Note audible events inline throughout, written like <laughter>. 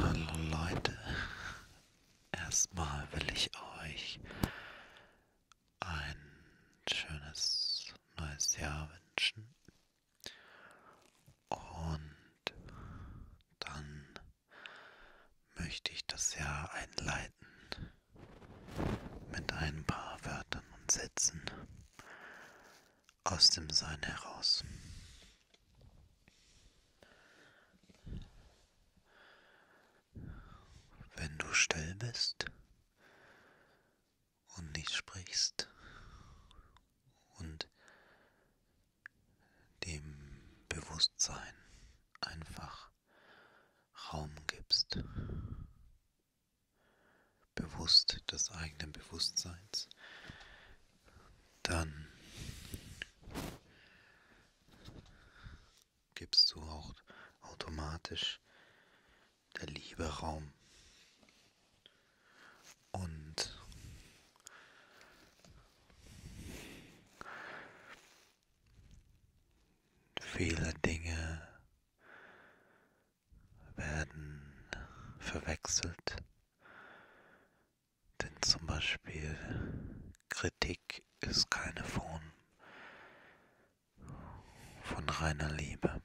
Hallo Leute, erstmal will ich euch ein schönes neues Jahr wünschen und dann möchte ich das Jahr einleiten mit ein paar Wörtern und Sätzen, aus dem Sein heraus. Wenn du still bist und nicht sprichst und dem Bewusstsein einfach Raum gibst, bewusst des eigenen Bewusstseins, dann gibst du auch automatisch der Liebe Raum. Und viele Dinge werden verwechselt. Denn zum Beispiel Kritik ist keine Form von reiner Liebe.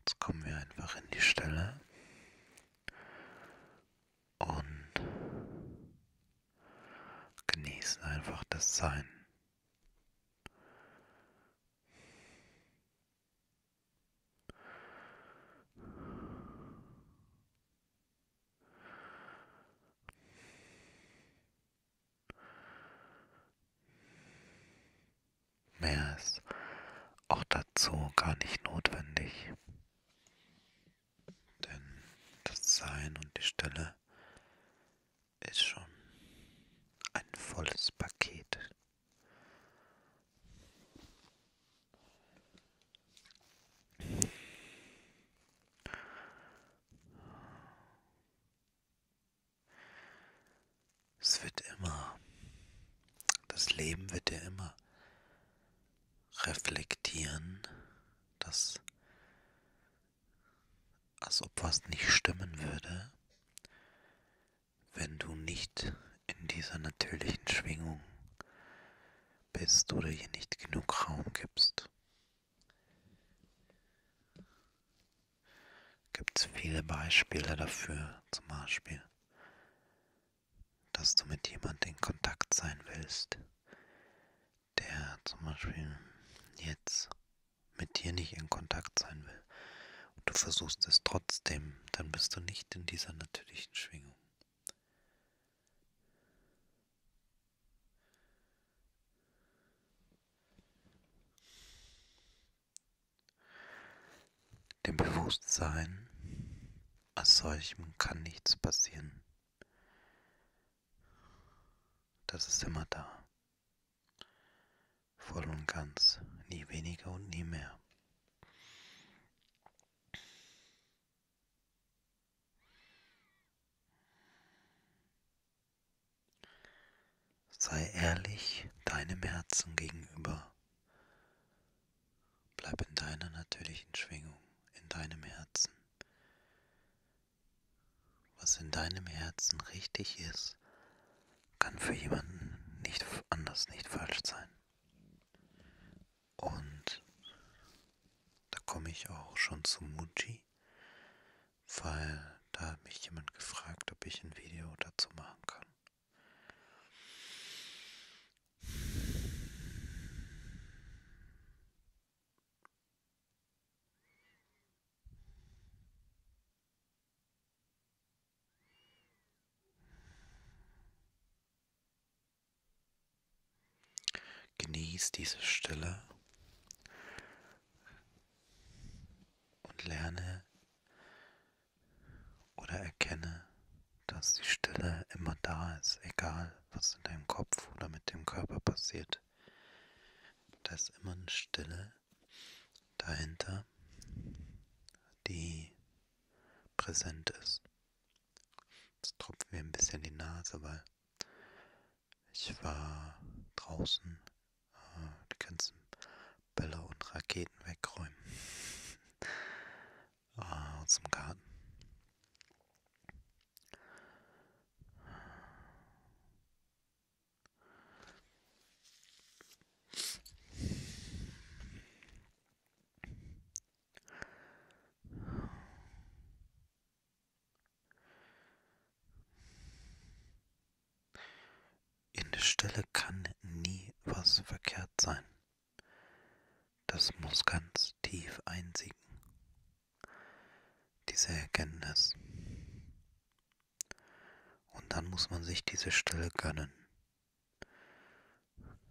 Jetzt kommen wir einfach in die Stelle und genießen einfach das Sein. Mehr ist auch dazu gar nicht notwendig. Denn das Sein und die Stille ist schon ein volles Paket. Es wird immer, das Leben wird ja immer reflektieren, dass als ob was nicht stimmen würde, wenn du nicht in dieser natürlichen Schwingung bist oder ihr nicht genug Raum gibst. Gibt es viele Beispiele dafür, zum Beispiel, dass du mit jemandem in Kontakt sein willst, der zum Beispiel jetzt mit dir nicht in Kontakt sein will und du versuchst es trotzdem, dann bist du nicht in dieser natürlichen Schwingung. Dem Bewusstsein als solchem kann nichts passieren. Das ist immer da. Voll und ganz, nie weniger und nie mehr. Sei ehrlich deinem Herzen gegenüber. Bleib in deiner natürlichen Schwingung, in deinem Herzen. Was in deinem Herzen richtig ist, kann für jemanden nicht anders nicht falsch sein. Und da komme ich auch schon zu Muji, weil da hat mich jemand gefragt, ob ich ein Video dazu machen kann. Genieß diese Stille und lerne oder erkenne, dass die Stille immer da ist, egal egal, was in deinem Kopf oder mit dem Körper passiert. Da ist immer eine Stille dahinter, die präsent ist. Jetzt tropft mir ein bisschen die Nase, weil ich war draußen. Äh, die ganzen Bälle und Raketen wegräumen. <laughs> Äh, aus dem Garten. In der Stille kann nie was verkehrt sein. Das muss ganz tief einsinken diese Erkenntnis. Und dann muss man sich diese Stille gönnen.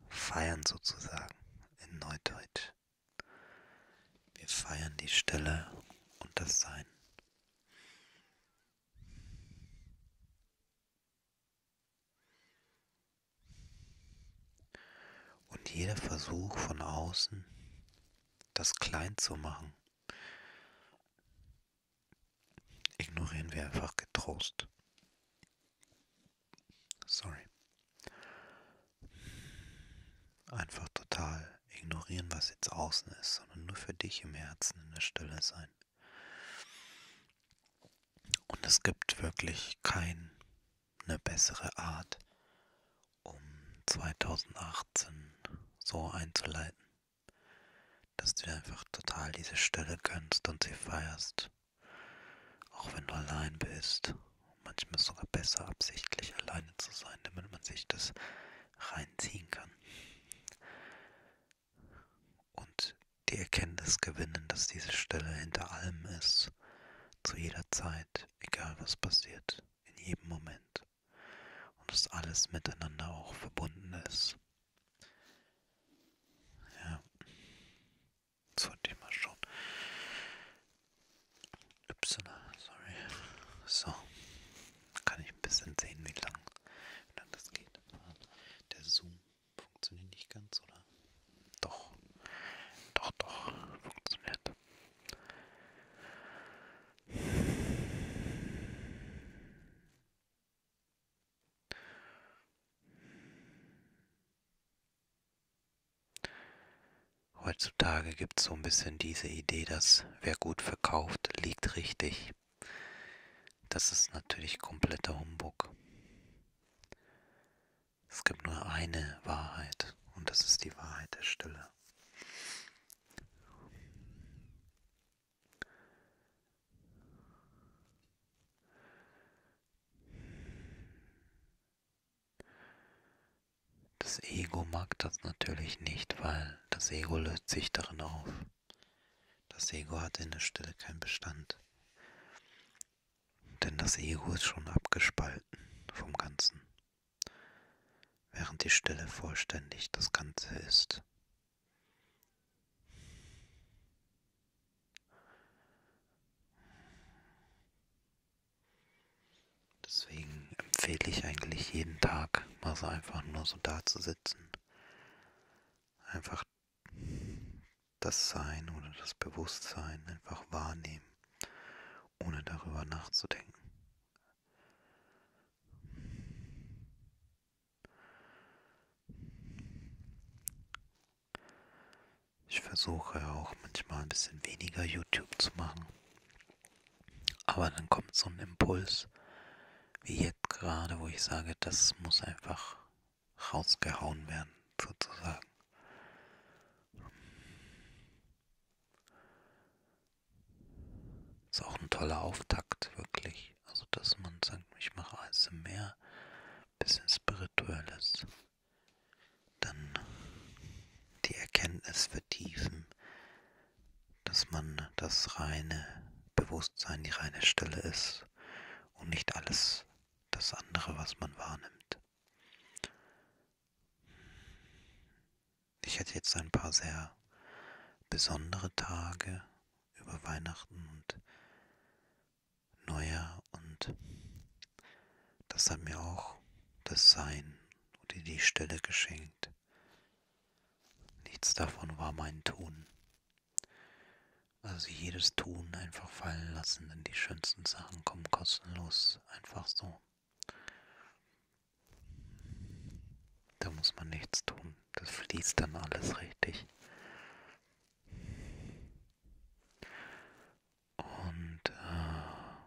Feiern sozusagen in Neudeutsch. Wir feiern die Stille und das Sein. Und jeder Versuch von außen, das klein zu machen, ignorieren wir einfach getrost. Sorry. Einfach total ignorieren, was jetzt außen ist, sondern nur für dich im Herzen in der Stille sein. Und es gibt wirklich kein eine bessere Art, um 2018 so einzuleiten, dass du dir einfach total diese Stelle gönnst und sie feierst. Auch wenn du allein bist. Manchmal ist es sogar besser, absichtlich alleine zu sein, damit man sich das reinziehen kann. Und die Erkenntnis gewinnen, dass diese Stelle hinter allem ist zu jeder Zeit, egal was passiert, in jedem Moment. Und dass alles miteinander auch verbunden ist. Ja, das wollte ich mal schon. Y, sorry. So, kann ich ein bisschen sehen, wie lang, wie lang das geht. Der Zoom. Funktioniert nicht ganz, oder? Doch. Doch, doch. Funktioniert. Heutzutage gibt es so ein bisschen diese Idee, dass wer gut verkauft, liegt richtig. Das ist natürlich kompletter Humbug. Es gibt nur eine Wahrheit und das ist die Wahrheit der Stille. Das Ego mag das natürlich nicht, weil das Ego löst sich darin auf. Das Ego hat in der Stille keinen Bestand. Denn das Ego ist schon abgespalten vom Ganzen, während die Stille vollständig das Ganze ist. Deswegen empfehle ich eigentlich jeden Tag mal so einfach nur so da zu sitzen. Einfach das Sein oder das Bewusstsein einfach wahrnehmen, ohne darüber nachzudenken. Ich versuche auch manchmal ein bisschen weniger YouTube zu machen. Aber dann kommt so ein Impuls, wie jetzt gerade, wo ich sage, das muss einfach rausgehauen werden, sozusagen. Ist auch ein toller Auftakt, wirklich. Also, dass man sagt, ich mache ASMR, bisschen spirituelles. Dann die Erkenntnis vertiefen, dass man das reine Bewusstsein, die reine Stille ist und nicht alles das andere, was man wahrnimmt. Ich hatte jetzt ein paar sehr besondere Tage über Weihnachten und Neujahr und das hat mir auch das Sein oder die Stille geschenkt. Nichts davon war mein Tun. Also jedes Tun einfach fallen lassen, denn die schönsten Sachen kommen kostenlos einfach so. Da muss man nichts tun. Das fließt dann alles richtig. Und, äh,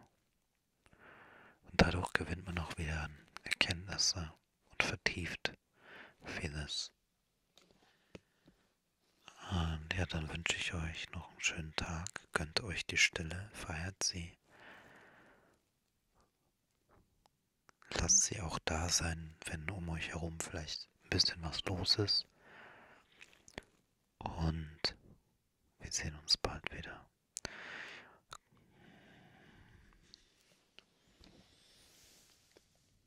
und dadurch gewinnt man auch wieder Erkenntnisse und vertieft vieles. Und ja, dann wünsche ich euch noch einen schönen Tag. Gönnt euch die Stille, feiert sie. Lasst sie auch da sein, wenn um euch herum vielleicht ein bisschen was los ist. Und wir sehen uns bald wieder.